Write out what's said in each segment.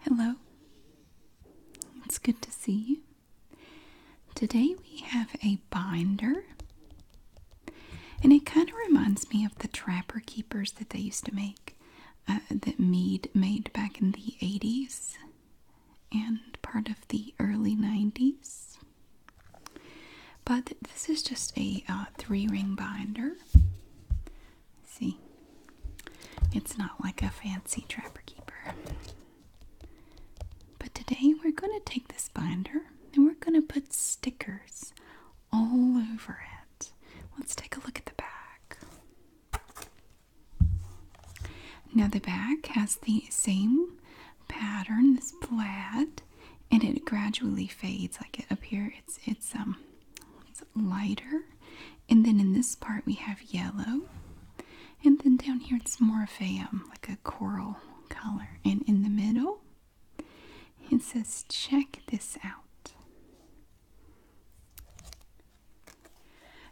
Hello. It's good to see you. Today we have a binder, and it kind of reminds me of the trapper keepers that they used to make, uh, that Mead made back in the 80s and part of the early 90s. But this is just a uh, three ring binder. See, it's not like a fancy trapper keeper. But today we're going to take this binder and we're going to put stickers all over it. Let's take a look at the back. Now, the back has the same pattern, this plaid, and it gradually fades. Like it up here, it's it's um it's lighter. And then in this part we have yellow. And then down here it's more of a um, like a coral color. And in the middle it says check this out.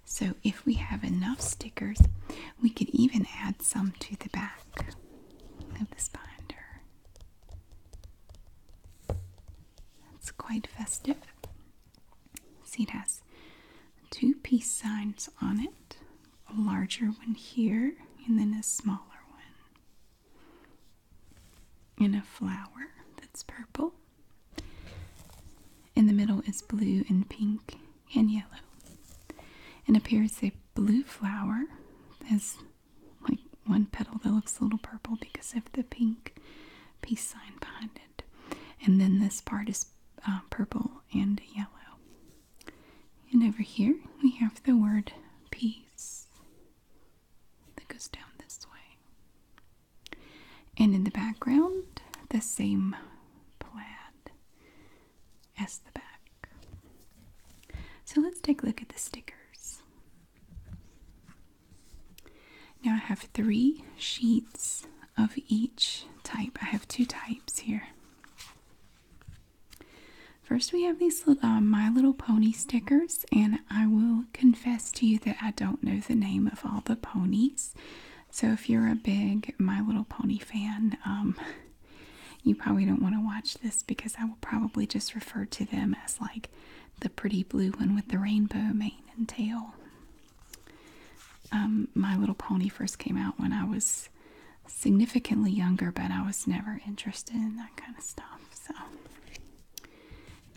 So if we have enough stickers, we could even add some to the back of this binder. It's quite festive. See, it has two peace signs on it a larger one here, and then a smaller one. And a flower that's purple. In the middle is blue and pink and yellow. And up here is a blue flower. There's like one petal that looks a little purple because of the pink peace sign behind it. And then this part is uh, purple and yellow. And over here we have the word peace that goes down this way. And in the background, the same plaid as the back. So let's take a look at the stickers. Now I have three sheets of each type. I have two types here. First, we have these uh, My Little Pony stickers, and I will confess to you that I don't know the name of all the ponies. So, if you're a big My Little Pony fan, um, you probably don't want to watch this because I will probably just refer to them as like the pretty blue one with the rainbow mane and tail. Um, My Little Pony first came out when I was significantly younger, but I was never interested in that kind of stuff. So,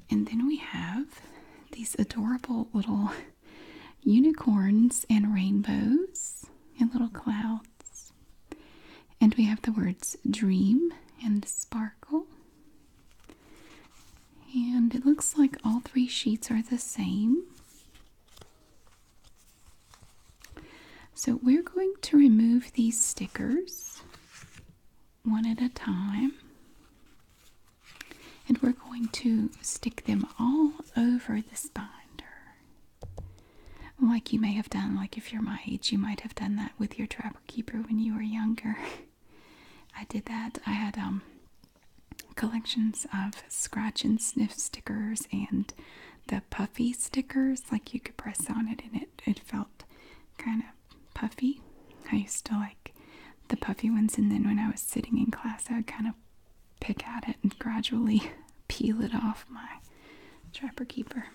and then we have these adorable little unicorns and rainbows and little clouds. And we have the words dream and sparkle. And it looks like all three sheets are the same. So we're going to remove these stickers one at a time. And we're going to stick them all over this binder. Like you may have done, like if you're my age, you might have done that with your trapper keeper when you were younger. I did that. I had um, collections of scratch and sniff stickers and the puffy stickers. Like you could press on it and it, it felt kind of puffy. I used to like the puffy ones. And then when I was sitting in class, I would kind of pick at it and gradually peel it off my trapper keeper.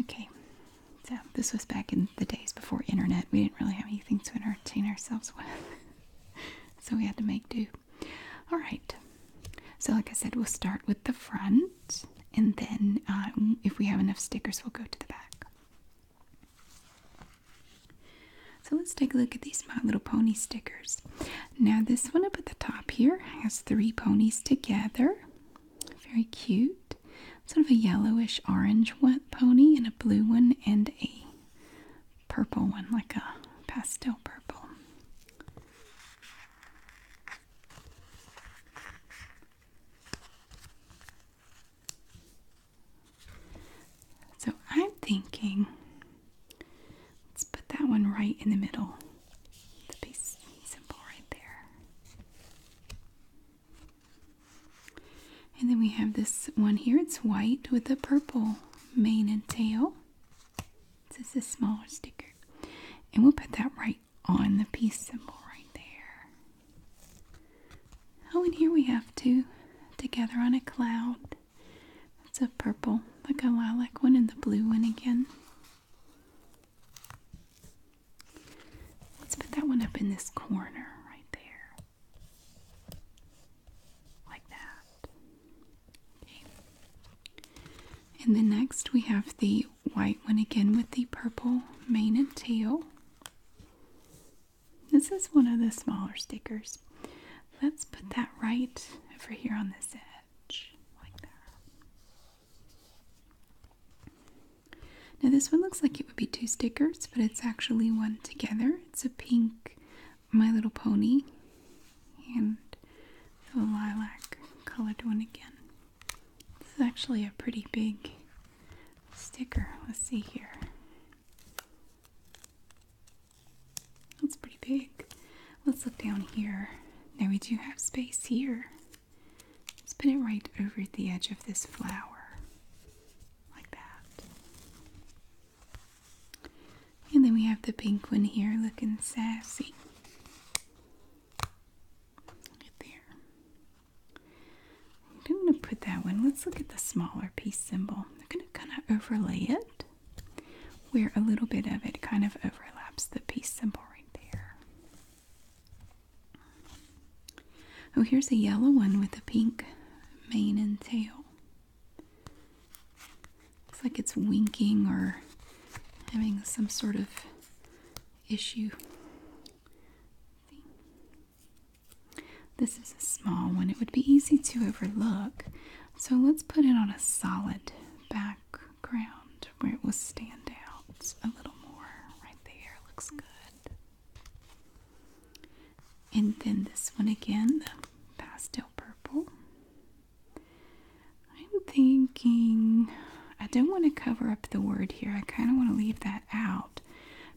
Okay, so this was back in the days before internet. We didn't really have anything to entertain ourselves with. so we had to make do. All right. So like I said, we'll start with the front. And then um, if we have enough stickers, we'll go to the back. So let's take a look at these My Little Pony stickers. Now this one up at the top here has three ponies together. Very cute sort of a yellowish orange pony, and a blue one, and a purple one, like a pastel purple. So I'm thinking, let's put that one right in the middle. The piece symbol right there. And then we have this one here. It's white with a purple mane and tail. This is a smaller sticker. And we'll put that right on the peace symbol right there. Oh, and here we have two together on a cloud. That's a purple, like a lilac one, and the blue one again. Let's put that one up in this corner right there. Like that. And then next we have the white one again with the purple mane and tail. This is one of the smaller stickers. Let's put that right over here on this edge, like that. Now this one looks like it would be two stickers, but it's actually one together. It's a pink My Little Pony and a lilac colored one again. This is actually a pretty big sticker. Let's see here. That's pretty big. Let's look down here. Now we do have space here. Let's put it right over the edge of this flower like that. And then we have the pink one here looking sassy. Right there. I'm going to put that one. Let's look at the smaller peace symbol. I'm going to kind of overlay it where a little bit of it kind of overlaps the peace symbol right there. Oh, here's a yellow one with a pink mane and tail. Looks like it's winking or having some sort of issue. This is a small one. It would be easy to overlook. So let's put it on a solid background where it will stand out a little more. Right there looks good. And then this one again, the pastel purple. I'm thinking I don't want to cover up the word here. I kind of want to leave that out.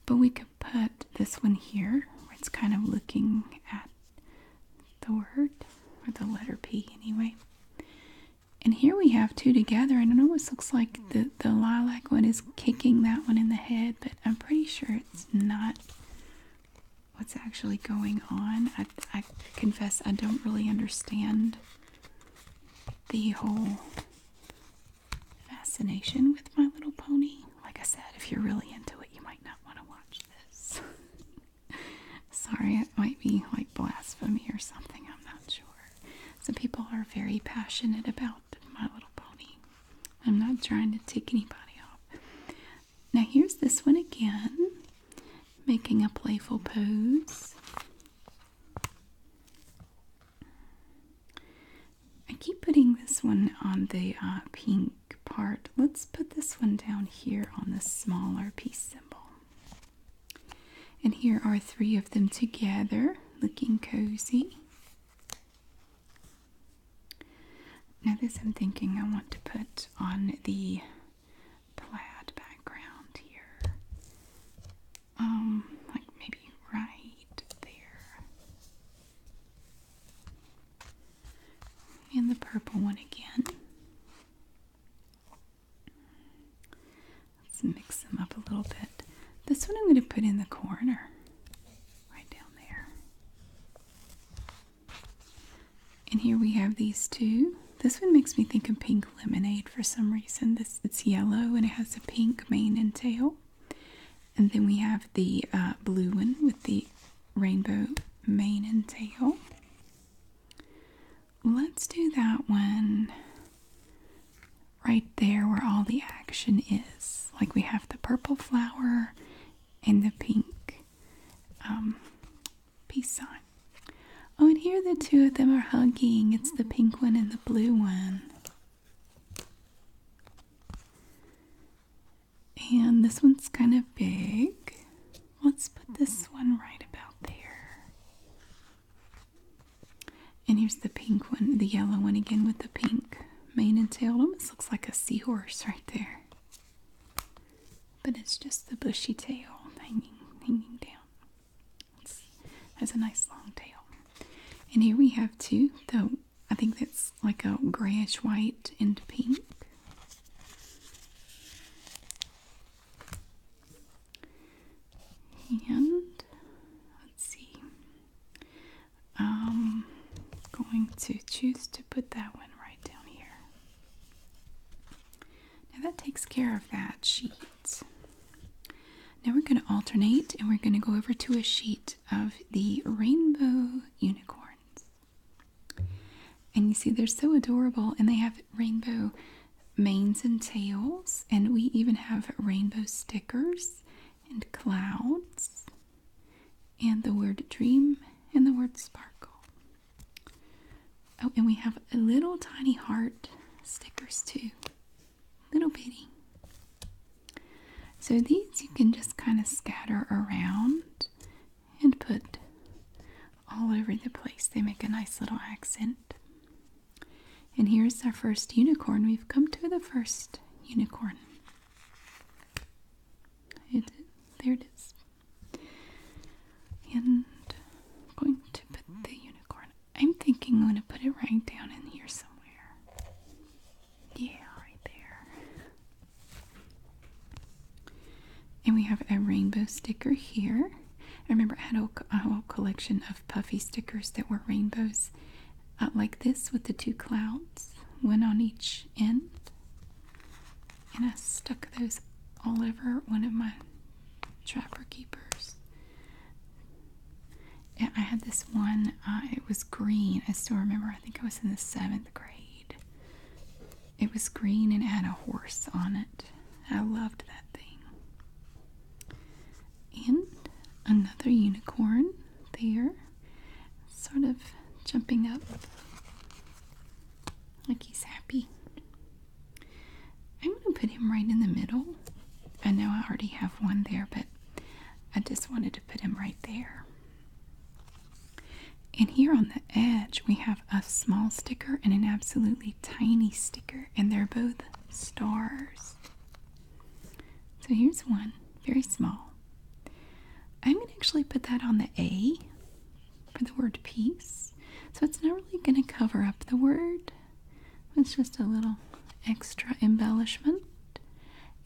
But we could put this one here it's kind of looking at the word or the letter P anyway. And here we have two together. I don't know what looks like. The, the lilac one is kicking that one in the head, but I'm pretty sure it's not what's actually going on. I, I confess I don't really understand the whole fascination with My Little Pony. Like I said, if you're really into it, you might not want to watch this. Sorry, it might be like blasphemy or something, I'm not sure. Some people are very passionate about My Little Pony. I'm not trying to tick anybody off. Now, here's this one again, making a playful pose. I keep putting this one on the uh, pink part. Let's put this one down here on the smaller peace symbol. And here are three of them together, looking cozy. Now this I'm thinking I want to put on the plaid background here. Um, like maybe right there. And the purple one again. Let's mix them up a little bit. This one I'm going to put in the corner right down there. And here we have these two. This one makes me think of pink lemonade for some reason. This it's yellow and it has a pink mane and tail. And then we have the uh, blue one with the rainbow mane and tail. Let's do that one right there where all the action is. Like we have the purple flower and the pink um, peace sign. Oh, and here the two of them are hugging. It's the pink one and the blue one. And this one's kind of big. Let's put this one right about there. And here's the pink one, the yellow one again with the pink mane and tail. It almost looks like a seahorse right there. But it's just the bushy tail hanging hanging down. It's, that's a nice long tail. And here we have two, though I think that's like a grayish white and pink. And let's see. I'm um, going to choose to put that one right down here. Now that takes care of that sheet. Now we're going to alternate and we're going to go over to a sheet of the rainbow unicorns. And you see, they're so adorable and they have rainbow manes and tails, and we even have rainbow stickers and clouds and the word dream and the word sparkle. Oh, and we have a little tiny heart stickers too. Little bitty. So these you can just kind of scatter around and put all over the place. They make a nice little accent. And here's our first unicorn. We've come to the first unicorn there it is. And I'm going to put the unicorn. I'm thinking I'm going to put it right down in here somewhere. Yeah, right there. And we have a rainbow sticker here. I remember I had a whole collection of puffy stickers that were rainbows, like this with the two clouds, one on each end. And I stuck those all over one of my trapper keepers. I had this one, uh, it was green. I still remember, I think I was in the seventh grade. It was green and had a horse on it. I loved that thing. And another unicorn there, sort of jumping up like he's happy. I'm going to put him right in the middle. I know I already have one there, but I just wanted to put him right there. And here on the edge, we have a small sticker and an absolutely tiny sticker, and they're both stars. So here's one very small. I'm going to actually put that on the A for the word peace. So it's not really going to cover up the word. It's just a little extra embellishment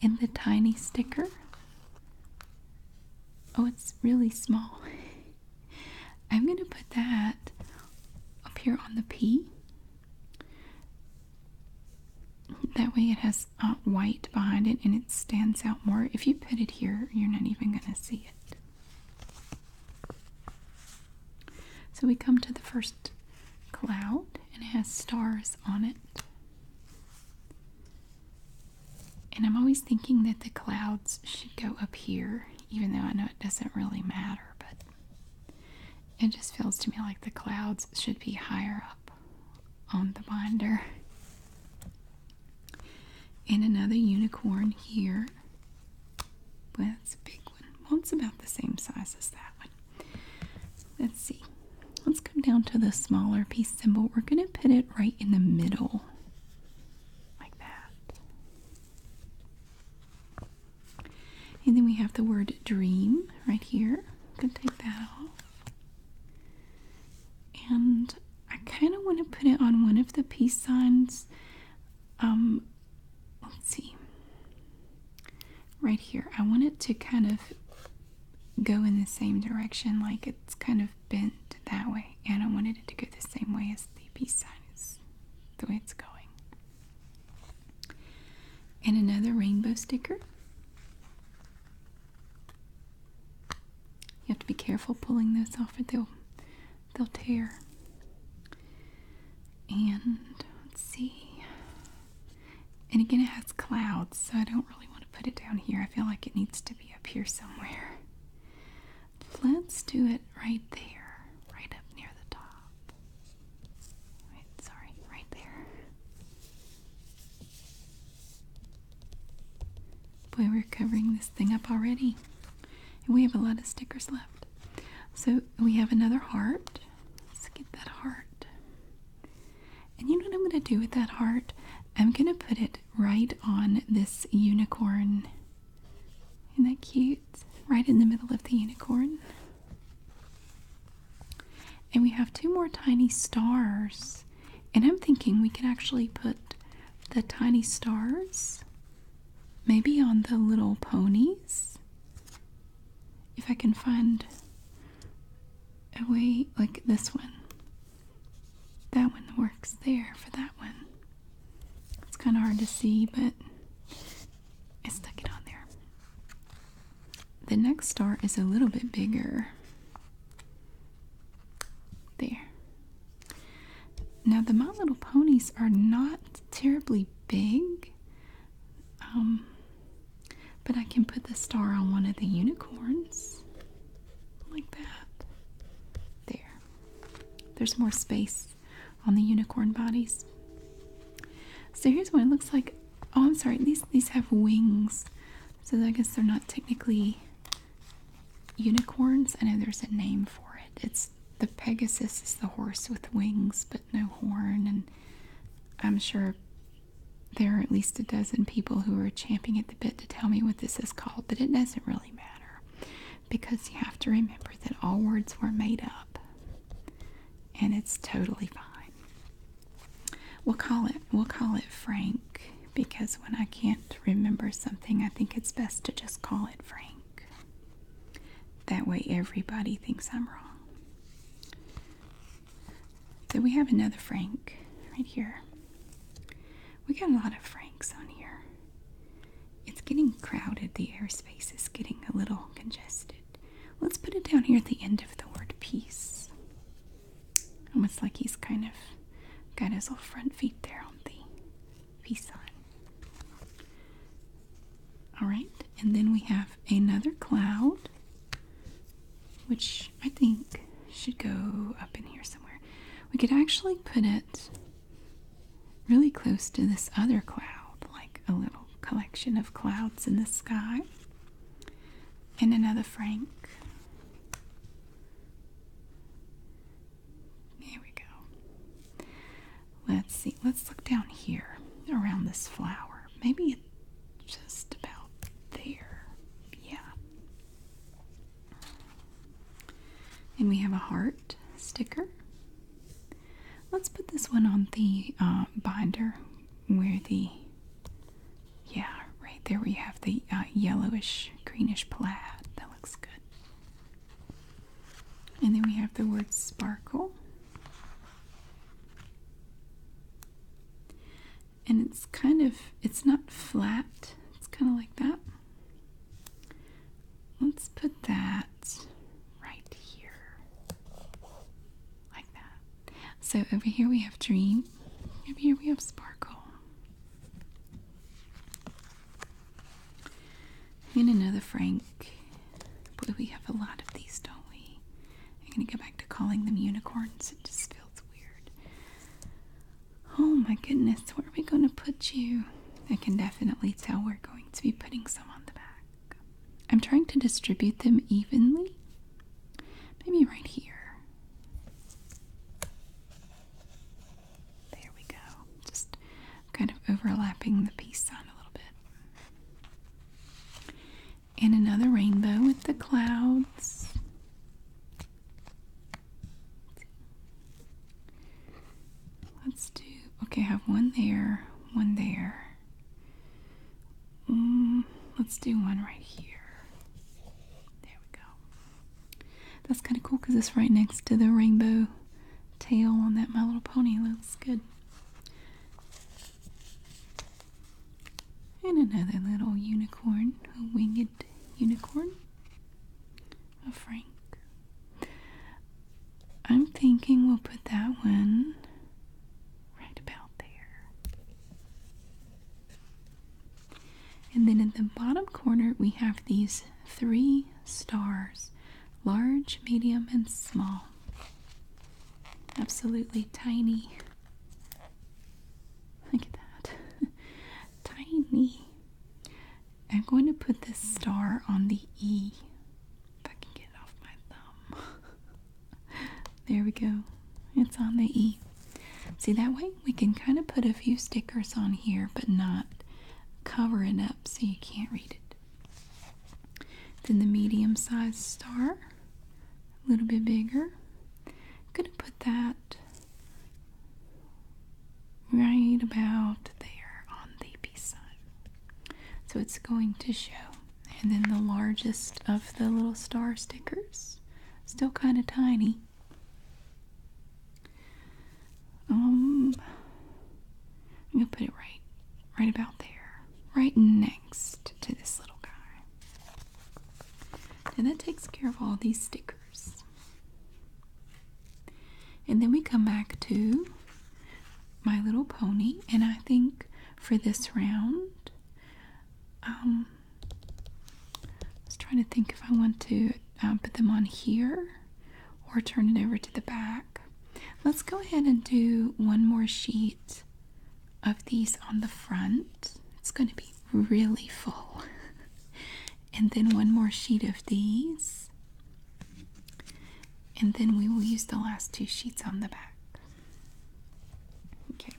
in the tiny sticker. Oh, it's really small. I'm going to put that up here on the P that way it has white behind it and it stands out more. If you put it here, you're not even going to see it. So we come to the first cloud and it has stars on it. And I'm always thinking that the clouds should go up here, even though I know it doesn't really matter, but it just feels to me like the clouds should be higher up on the binder. And another unicorn here. That's a big one. Well, it's about the same size as that one. Let's see. Let's come down to the smaller peace symbol. We're going to put it right in the middle, like that. And then we have the word dream right here. I'm going to take that off. And I kind of want to put it on one of the peace signs. Um, let's see. Right here. I want it to kind of go in the same direction, like it's kind of bent that way. And I wanted it to go the same way as the peace sign is, the way it's going. And another rainbow sticker. You have to be careful pulling this off or they'll they'll tear. And let's see. And again it has clouds, so I don't really want to put it down here. I feel like it needs to be up here somewhere. Let's do it right there, right up near the top. Wait, sorry, right there. Boy, we're covering this thing up already. And we have a lot of stickers left. So we have another heart. Let's get that heart. And you know what I'm going to do with that heart? I'm going to put it right on this unicorn. Isn't that cute? Right in the middle of the unicorn. And we have two more tiny stars and I'm thinking we could actually put the tiny stars maybe on the little ponies. If I can find a way, like this one, that one works there for that one. It's kind of hard to see, but I stuck it on there. The next star is a little bit bigger. There. Now, the My Little Ponies are not terribly big, um, but I can put the star on one of the unicorns like that. There. There's more space on the unicorn bodies. So here's what it looks like. Oh, I'm sorry. These these have wings. So I guess they're not technically unicorns. I know there's a name for it. It's the Pegasus is the horse with wings but no horn, and I'm sure there are at least a dozen people who are champing at the bit to tell me what this is called, but it doesn't really matter because you have to remember that all words were made up and it's totally fine we'll call it we'll call it Frank because when I can't remember something I think it's best to just call it Frank. That way everybody thinks I'm wrong. So we have another Frank right here. We got a lot of Franks on here. It's getting crowded. The airspace is getting a little congested. Let's put it down here at the end of the word peace. Almost like he's kind of got his little front feet there on the peace sign. Alright, and then we have another cloud, which I think should go up in here somewhere. We could actually put it really close to this other cloud, like a little collection of clouds in the sky. And another Frank. There we go. Let's see. Let's look down here around this flower. Maybe just about there. Yeah. And we have a heart sticker. Let's put this one on the uh, binder where the yeah, right there we have the uh, yellowish, greenish plaid. That looks good. And then we have the word sparkle. And it's kind of, it's not flat. It's kind of like that. Let's put that right here. Like that. So over here we have dream. Over here we have sparkle. And another Frank. Boy, we have a lot of these, don't we? I'm gonna go back to calling them unicorns. It just feels weird. Oh my goodness, where are we gonna put you? I can definitely tell we're going to be putting some on the back. I'm trying to distribute them evenly. Maybe right here. There we go. Just kind of overlapping the peace sign a little bit. And another rainbow with the clouds. Let's do, okay, I have one there, one there. Mm, let's do one right here. There we go. That's kind of cool because it's right next to the rainbow tail on that My Little Pony. Looks good. And another little unicorn, a winged unicorn. A Frank. I'm thinking we'll put that one right about there. And then in the bottom corner, we have these three stars large, medium, and small. Absolutely tiny. Look at that. tiny. I'm going to put this star on the E. If I can get it off my thumb. there we go. It's on the E. See, that way we can kind of put a few stickers on here, but not cover it up so you can't read it. Then the medium sized star, a little bit bigger. I'm going to put that right about there on the B side, So it's going to show. And then the largest of the little star stickers, still kind of tiny. Um, I'm gonna put it right, right about there, right next to this little guy. And that takes care of all these stickers. And then we come back to My Little Pony, and I think for this round, um, I was trying to think if I want to um, put them on here or turn it over to the back. Let's go ahead and do one more sheet of these on the front. It's going to be really full. and then one more sheet of these. And then we will use the last two sheets on the back. Okay.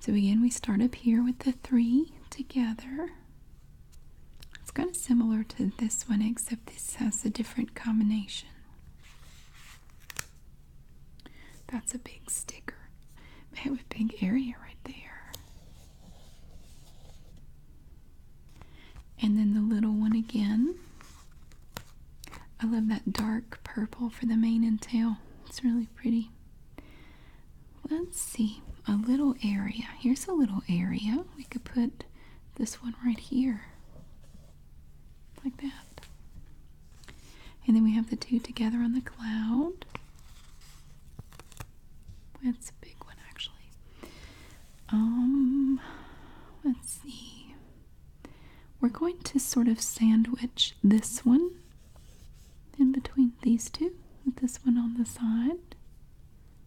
So again, we start up here with the three together. It's kind of similar to this one, except this has a different combination. That's a big sticker. man. With a big area right there. And then the little one again. I love that dark purple for the mane and tail. It's really pretty. Let's see, a little area. Here's a little area. We could put this one right here, like that. And then we have the two together on the cloud. That's a big one, actually. Um, let's see. We're going to sort of sandwich this one in between these two with this one on the side.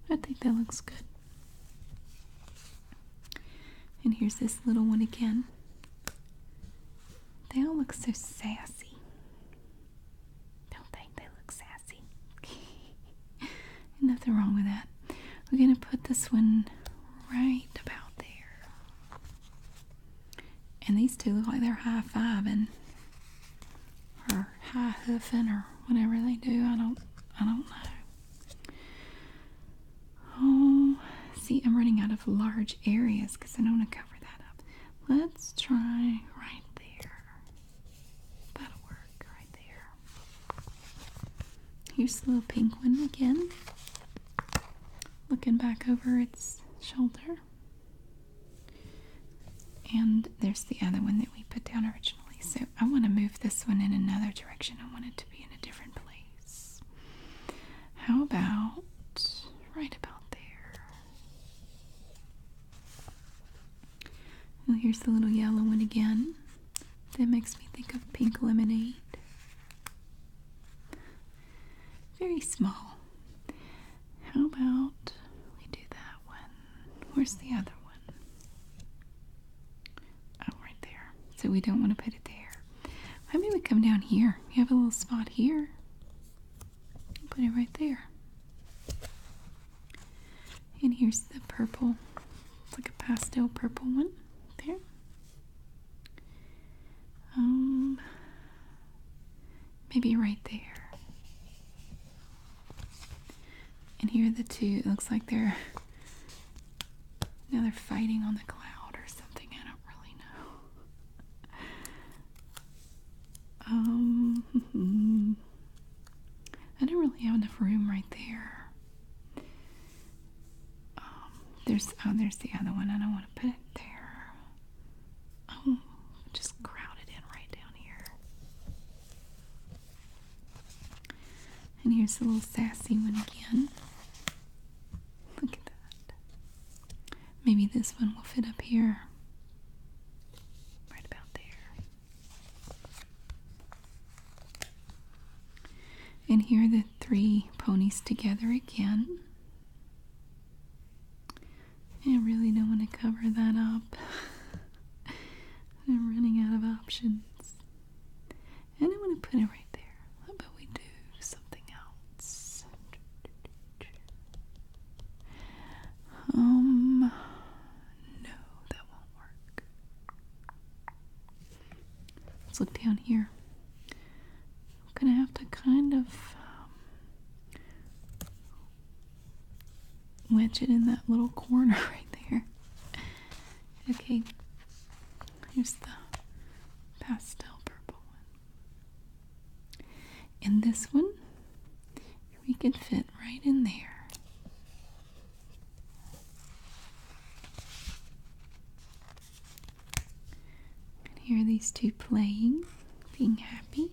I think that looks good. And here's this little one again. They all look so sassy. Don't think they look sassy. Nothing wrong with that. We're going to put this one right about there. And these two look like they're high fiving or high hoofing or whatever they do. I don't I don't know. Oh, see, I'm running out of large areas because I don't want to cover that up. Let's try right there. That'll work right there. Here's the little pink one again. Looking back over its shoulder. And there's the other one that we put down originally. So I want to move this one in another direction. I want it to be in a different place. How about right about there? Well, here's the little yellow one again. That makes me think of pink lemonade. Very small. How about we do that one? Where's the other one? Oh, right there. So we don't want to put it there. Maybe we come down here. We have a little spot here. Put it right there. And here's the purple. It's like a pastel purple one. There. Um, maybe right there. And here are the two. It looks like they're now they're fighting on the cloud or something. I don't really know. Um, I don't really have enough room right there. Um, there's oh, there's the other one. I don't want to put it there. Oh, just crowded in right down here. And here's the little sassy one again. Look at that. Maybe this one will fit up here. Right about there. And here are the three ponies together again. I really don't want to cover that up. I'm running out of options. And I want to put it right there. How about we do something else? Um, no, that won't work. Let's look down here. I'm gonna have to kind of um, wedge it in that little corner right there. Okay, here's the pastel purple one. And this one, we can fit right in there. And here are these two playing, being happy.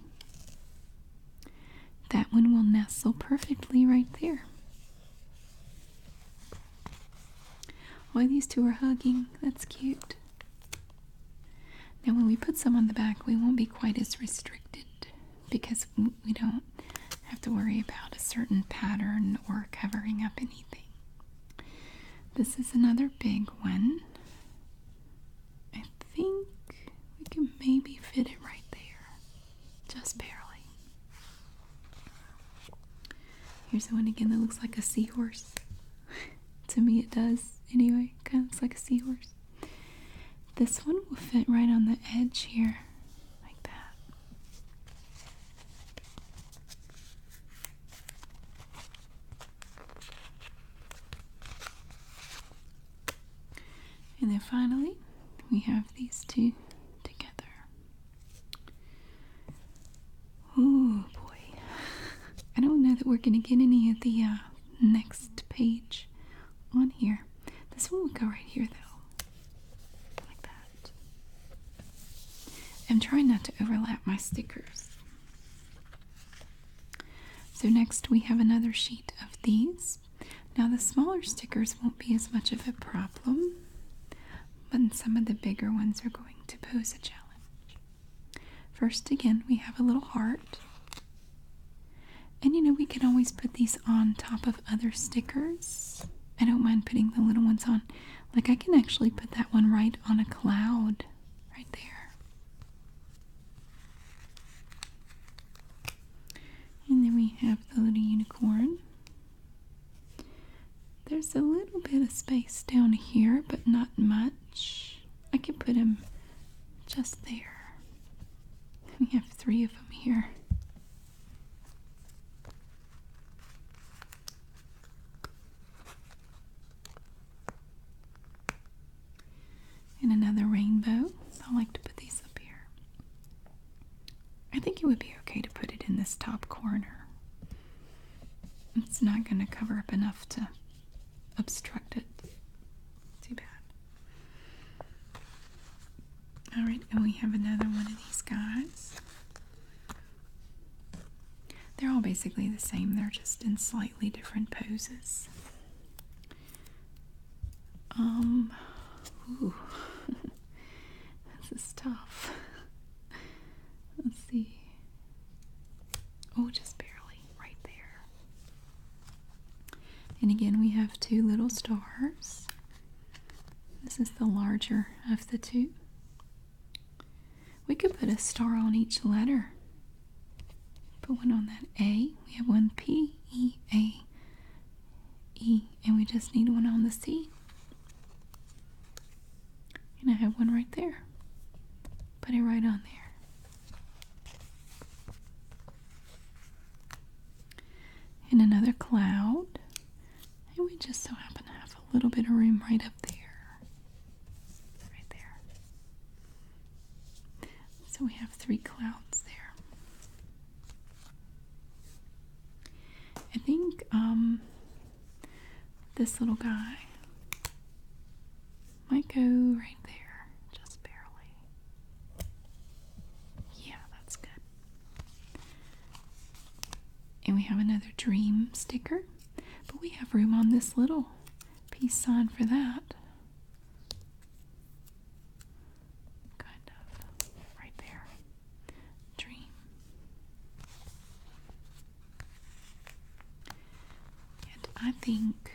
That one will nestle perfectly right there. Why these two are hugging. That's cute. Now, when we put some on the back, we won't be quite as restricted because we don't have to worry about a certain pattern or covering up anything. This is another big one. I think we can maybe fit it right there. Just barely. Here's the one again that looks like a seahorse. to me, it does. Anyway, kind of looks like a seahorse. This one will fit right on the edge here, like that. And then finally, we have these two together. Oh boy. I don't know that we're going to get any of the uh, next page on here. This one would go right here though. Like that. I'm trying not to overlap my stickers. So next we have another sheet of these. Now, the smaller stickers won't be as much of a problem, but some of the bigger ones are going to pose a challenge. First, again, we have a little heart. And you know, we can always put these on top of other stickers. I don't mind putting the little ones on. Like, I can actually put that one right on a cloud right there. And then we have the little unicorn. There's a little bit of space down here, but not much. I can put him just there. We have three of them here and another rainbow. I like to put these up here. I think it would be okay to put it in this top corner. It's not going to cover up enough to obstruct it. Too bad. Alright, and we have another one of these guys. They're all basically the same, they're just in slightly different poses. Um, this is tough. Let's see. Oh, just barely right there. And again, we have two little stars. This is the larger of the two. We could put a star on each letter. Put one on that A. We have one P, E, A, E. And we just need one on the C. And I have one right there. Put it right on there. And another cloud. And we just so happen to have a little bit of room right up there. Right there. So we have three clouds there. I think um, this little guy might go right there, just barely. Yeah, that's good. And we have another dream sticker, but we have room on this little peace sign for that kind of right there. Dream. I think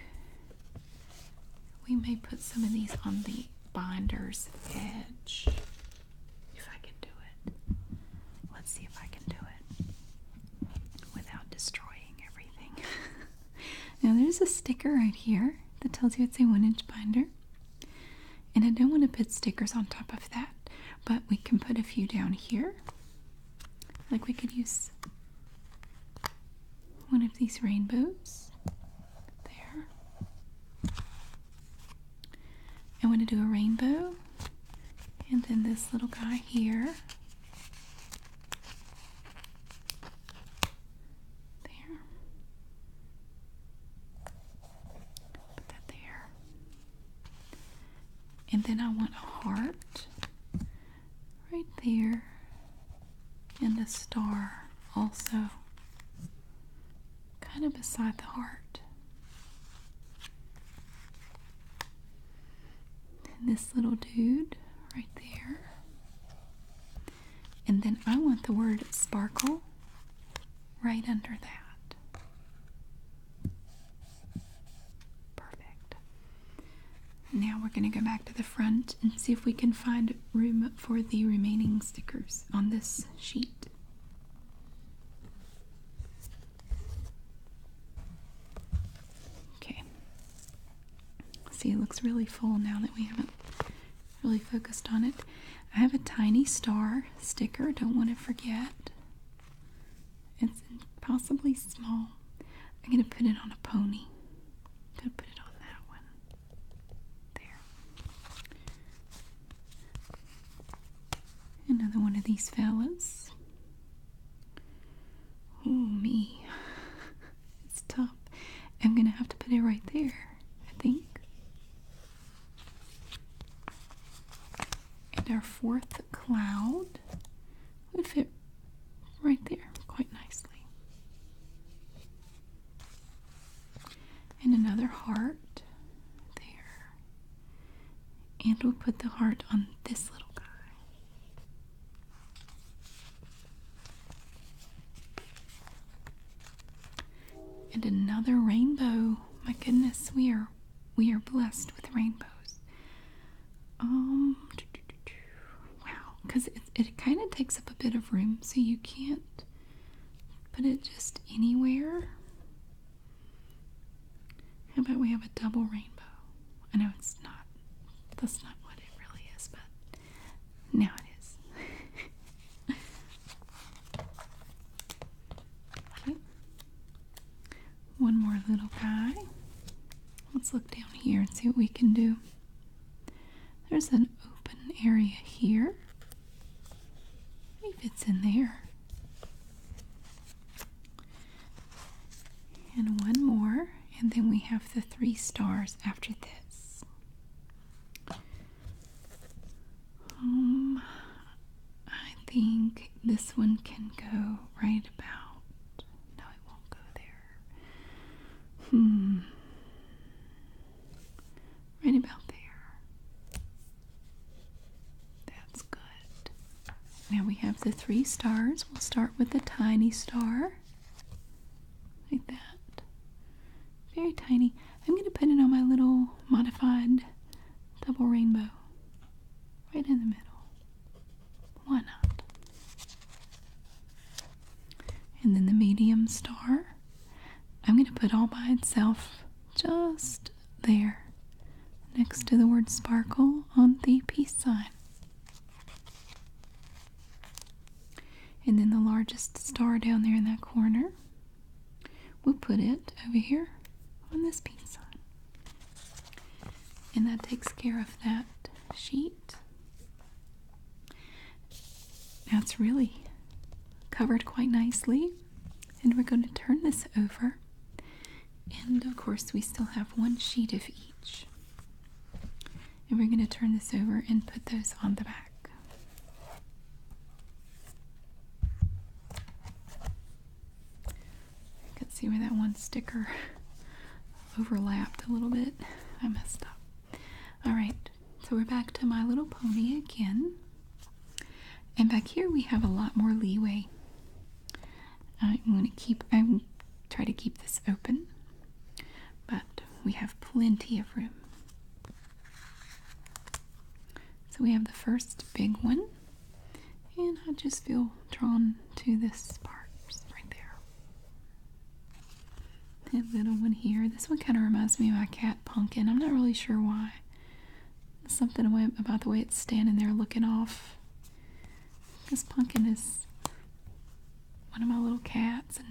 we may put some of these on the binder's edge if I can do it. Let's see if I can do it without destroying everything. Now there's a sticker right here that tells you it's a one inch binder. And I don't want to put stickers on top of that, but we can put a few down here. Like we could use one of these rainbows there. I want to do a rainbow and then this little guy here. There. Put that there. And then I want a heart right there. And a star also kind of beside the heart. And this little dude right there. And then I want the word sparkle right under that. Perfect. Now we're going to go back to the front and see if we can find room for the remaining stickers on this sheet. Okay, See, it looks really full now that we haven't really focused on it. I have a tiny star sticker, don't want to forget. It's possibly small. I'm going to put it on a pony. going to put it on that one. There. Another one of these fellas. Oh, me. it's tough. I'm going to have to put it right there. I think. And our fourth cloud would fit right there quite nicely. And another heart there. And we'll put the heart on this little guy. And another rainbow. My goodness, we are we are blessed with rainbows. Um wow, cuz it it kind of takes up a bit of room so you can't put it just anywhere. How about we have a double rainbow? I know it's not that's not what it really is, but now it is. One more little guy. Let's look down here and see what we can do. There's an open area here. Maybe it's in there. And one more, and then we have the three stars after this. Um, I think this one can go right about. No, it won't go there. Hmm. Right about there. That's good. Now we have the three stars. We'll start with the tiny star like that. Very tiny. I'm going to put it on my little modified double rainbow right in the middle. Why not? And then the medium star. I'm going to put all by itself just there next to the word sparkle on the peace sign. And then the largest star down there in that corner, we'll put it over here on this peace And that takes care of that sheet. That's really covered quite nicely. And we're going to turn this over. And of course, we still have one sheet of each and we're going to turn this over and put those on the back. You can see where that one sticker overlapped a little bit. I messed up. All right, so we're back to My Little Pony again. And back here we have a lot more leeway. I'm going to keep, I'm try to keep this open, but we have plenty of room. So we have the first big one, and I just feel drawn to this part right there. That little one here. This one kind of reminds me of my cat Pumpkin. I'm not really sure why. something about the way it's standing there looking off. Because Pumpkin is one of my little cats, and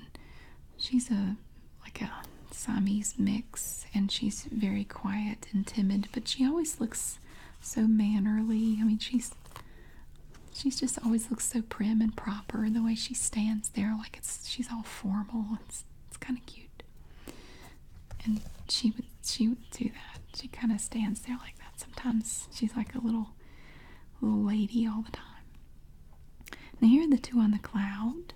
She's a like a Siamese mix, and she's very quiet and timid, but she always looks so mannerly. I mean, she's she's just always looks so prim and proper the way she stands there, like it's she's all formal. It's it's kind of cute, and she would she would do that. She kind of stands there like that sometimes. She's like a little little lady all the time. Now here are the two on the cloud.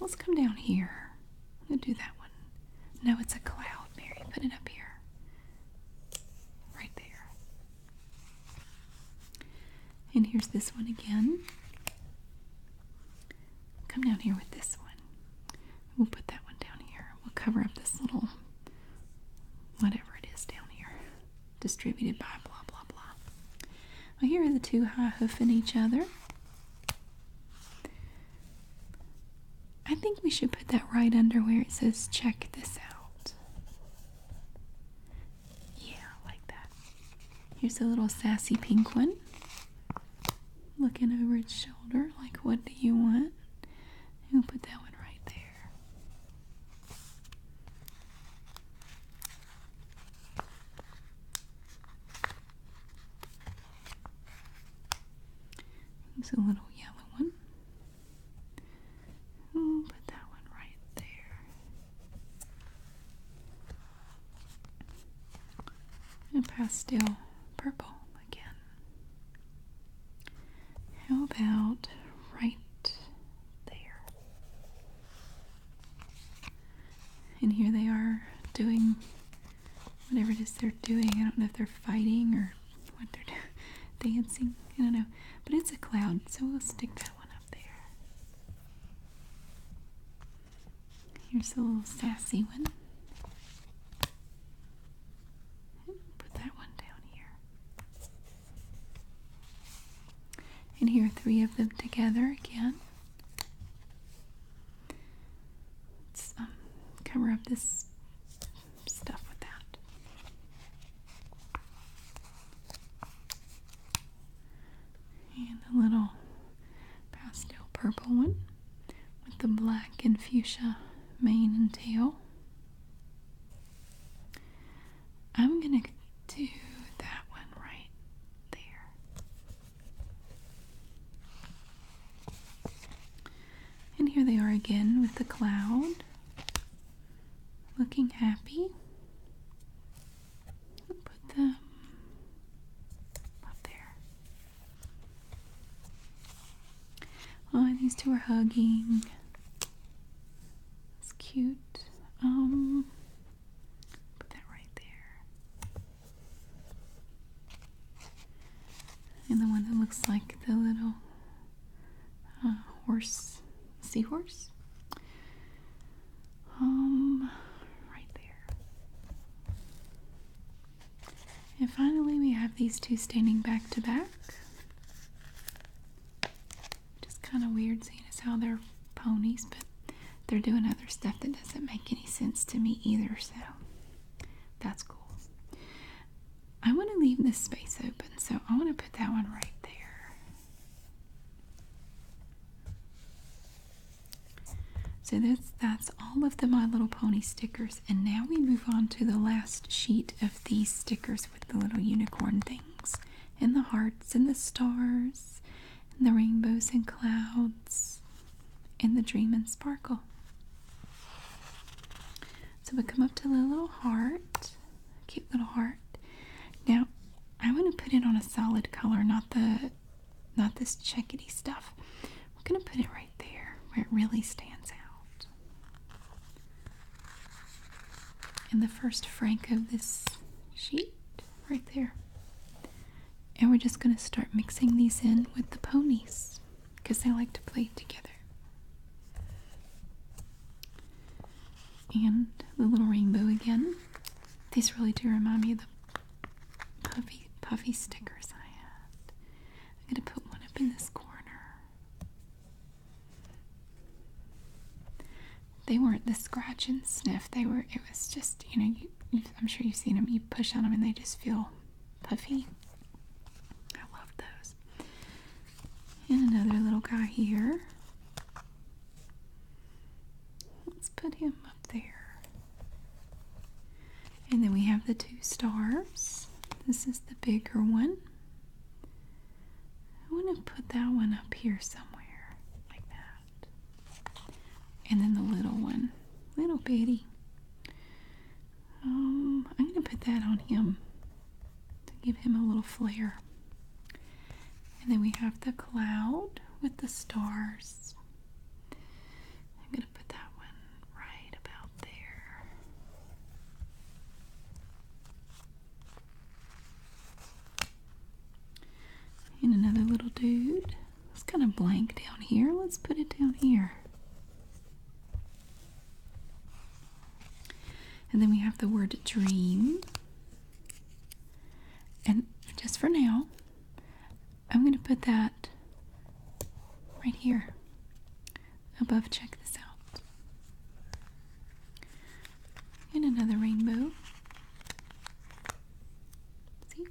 Let's come down here. I'm gonna do that one. No, it's a cloud, Mary. Put it up here. Right there. And here's this one again. Come down here with this one. We'll put that one down here. We'll cover up this little whatever it is down here distributed by blah blah blah. Well, here are the two high hoofing each other. I think we should put that right under where it says check this out. Yeah, like that. Here's a little sassy pink one. Looking over its shoulder, like, what do you want? we'll put that one right there. There's a little yellow one. we put that one right there. A pastel purple again. How about right there? And here they are doing whatever it is they're doing. I don't know if they're fighting or what they're doing, dancing. I don't know. But it's a cloud, so we'll stick that one up there. Here's a little sassy one. Put that one down here. And here three of them together again. Let's um, cover up this stuff with that. And the little pastel purple one with the black and fuchsia mane and tail. I'm going to to that one right there. And here they are again with the cloud. Looking happy. put them up there. Oh, these two are hugging. It's cute. Um, Put that right there. And the one that looks like the little uh, horse, seahorse. Um, right there. And finally, we have these two standing back to back. Just kind of weird seeing as how they're ponies, but they're doing other stuff that doesn't make any sense to me either, so that's cool. I want to leave this space open, so I want to put that one right there. So that's that's all of the My Little Pony stickers, and now we move on to the last sheet of these stickers with the little unicorn things, and the hearts, and the stars, and the rainbows and clouds and the dream and sparkle. So we come up to the little heart, cute little heart. Now I want to put it on a solid color, not the not this checkety stuff. We're gonna put it right there where it really stands out. In the first frank of this sheet right there. And we're just going to start mixing these in with the ponies because they like to play together. And the little rainbow again. These really do remind me of the puffy, puffy stickers I had. I'm going to put one up in this corner they weren't the scratch and sniff. They were, it was just, you know, I'm sure you've seen them. You push on them and they just feel puffy. I love those. And another little guy here. Let's put him up there. And then we have the two stars. This is the bigger one. I want to put that one up here somewhere like that. And then the little one, little bitty. Um, I'm gonna put that on him to give him a little flair. And then we have the cloud with the stars. I'm gonna put that one right about there. And another little dude. It's kind of blank down here. Let's put it down here. And then we have the word dream. And just for now, I'm going to put that right here above. Check this out. And another rainbow. See?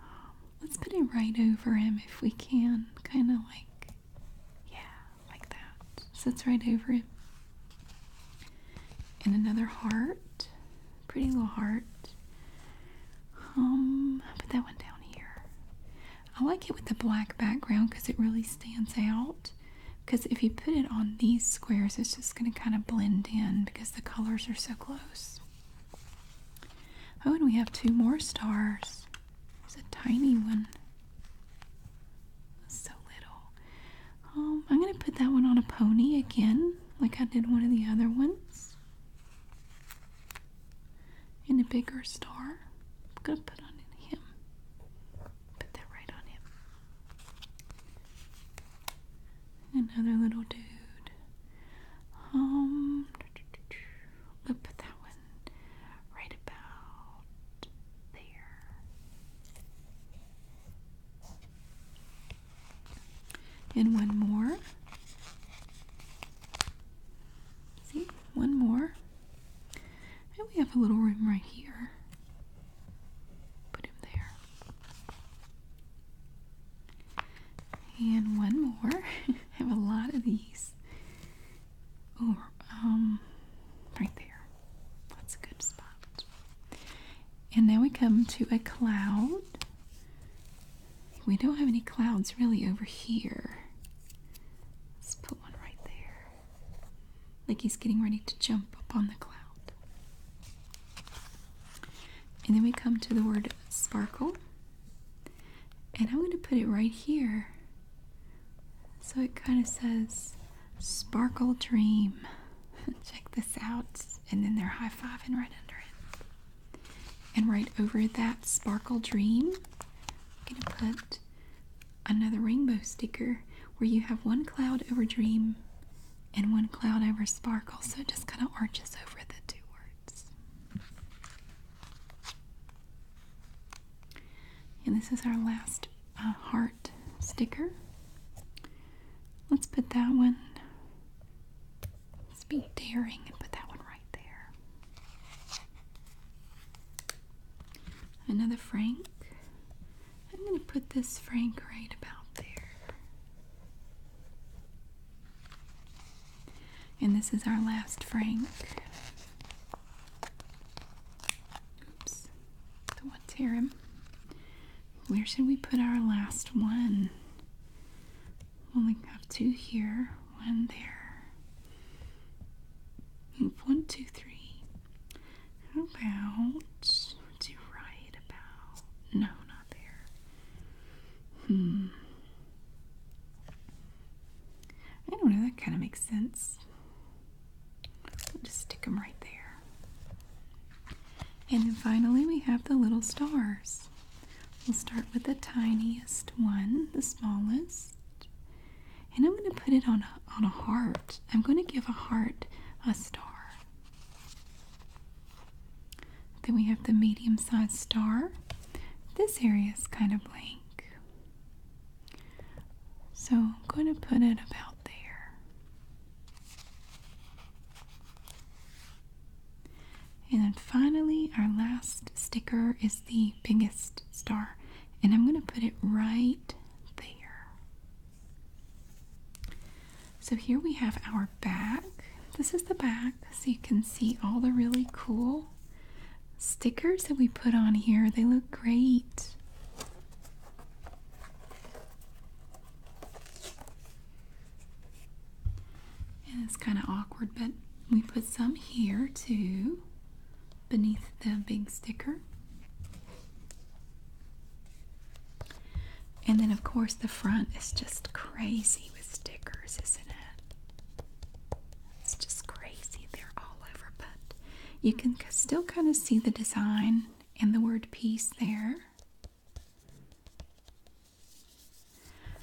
Um, let's put it right over him if we can. Kind of like, yeah, like that. So it's right over him. And another heart. Pretty little heart. Um, put that one down here. I like it with the black background because it really stands out. Because if you put it on these squares, it's just going to kind of blend in because the colors are so close. Oh, and we have two more stars. It's a tiny one. So little. Um, I'm going to put that one on a pony again, like I did one of the other ones. And a bigger star. I'm going to put on him. Put that right on him. Another little dude. Um, put that one right about there. And one more. See, one more. And we have a little room right here. Put him there. And one more. I have a lot of these. Oh, um, right there. That's a good spot. And now we come to a cloud. We don't have any clouds really over here. Let's put one right there. Like he's getting ready to jump up on the cloud. And then we come to the word sparkle. And I'm going to put it right here. So it kind of says sparkle dream. Check this out. And then they're high fiving right under it. And right over that sparkle dream, I'm going to put another rainbow sticker where you have one cloud over dream and one cloud over sparkle. So it just kind of arches over the two words. And this is our last uh, heart sticker. Let's put that one, let's be daring and put that one right there. Another Frank. I'm going to put this Frank right about there. And this is our last Frank. Oops, the one terum. Where should we put our last one? Only have two here, one there. One, two, three. How about? Do right about? No, not there. Hmm. I don't know, that kind of makes sense. just stick them right there. And then finally, we have the little stars. We'll start with the tiniest one, the smallest. And I'm going to put it on a, on a heart. I'm going to give a heart a star. Then we have the medium sized star. This area is kind of blank. So I'm going to put it about there. And then finally, our last sticker is the biggest star. And I'm going to put it right there. So here we have our back. This is the back, so you can see all the really cool stickers that we put on here. They look great. it's kind of awkward, but we put some here too, beneath the big sticker. And then, of course, the front is just crazy with stickers, isn't it? It's just crazy. They're all over, but you can still kind of see the design and the word peace there.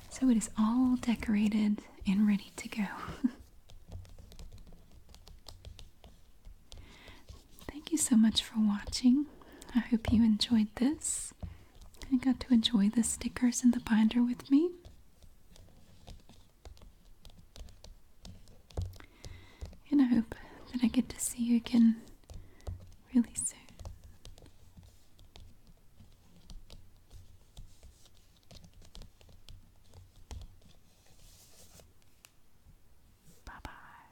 So it is all decorated and ready to go. Thank you so much for watching. I hope you enjoyed this. I got to enjoy the stickers in the binder with me. And I hope that I get to see you again really soon. Bye bye.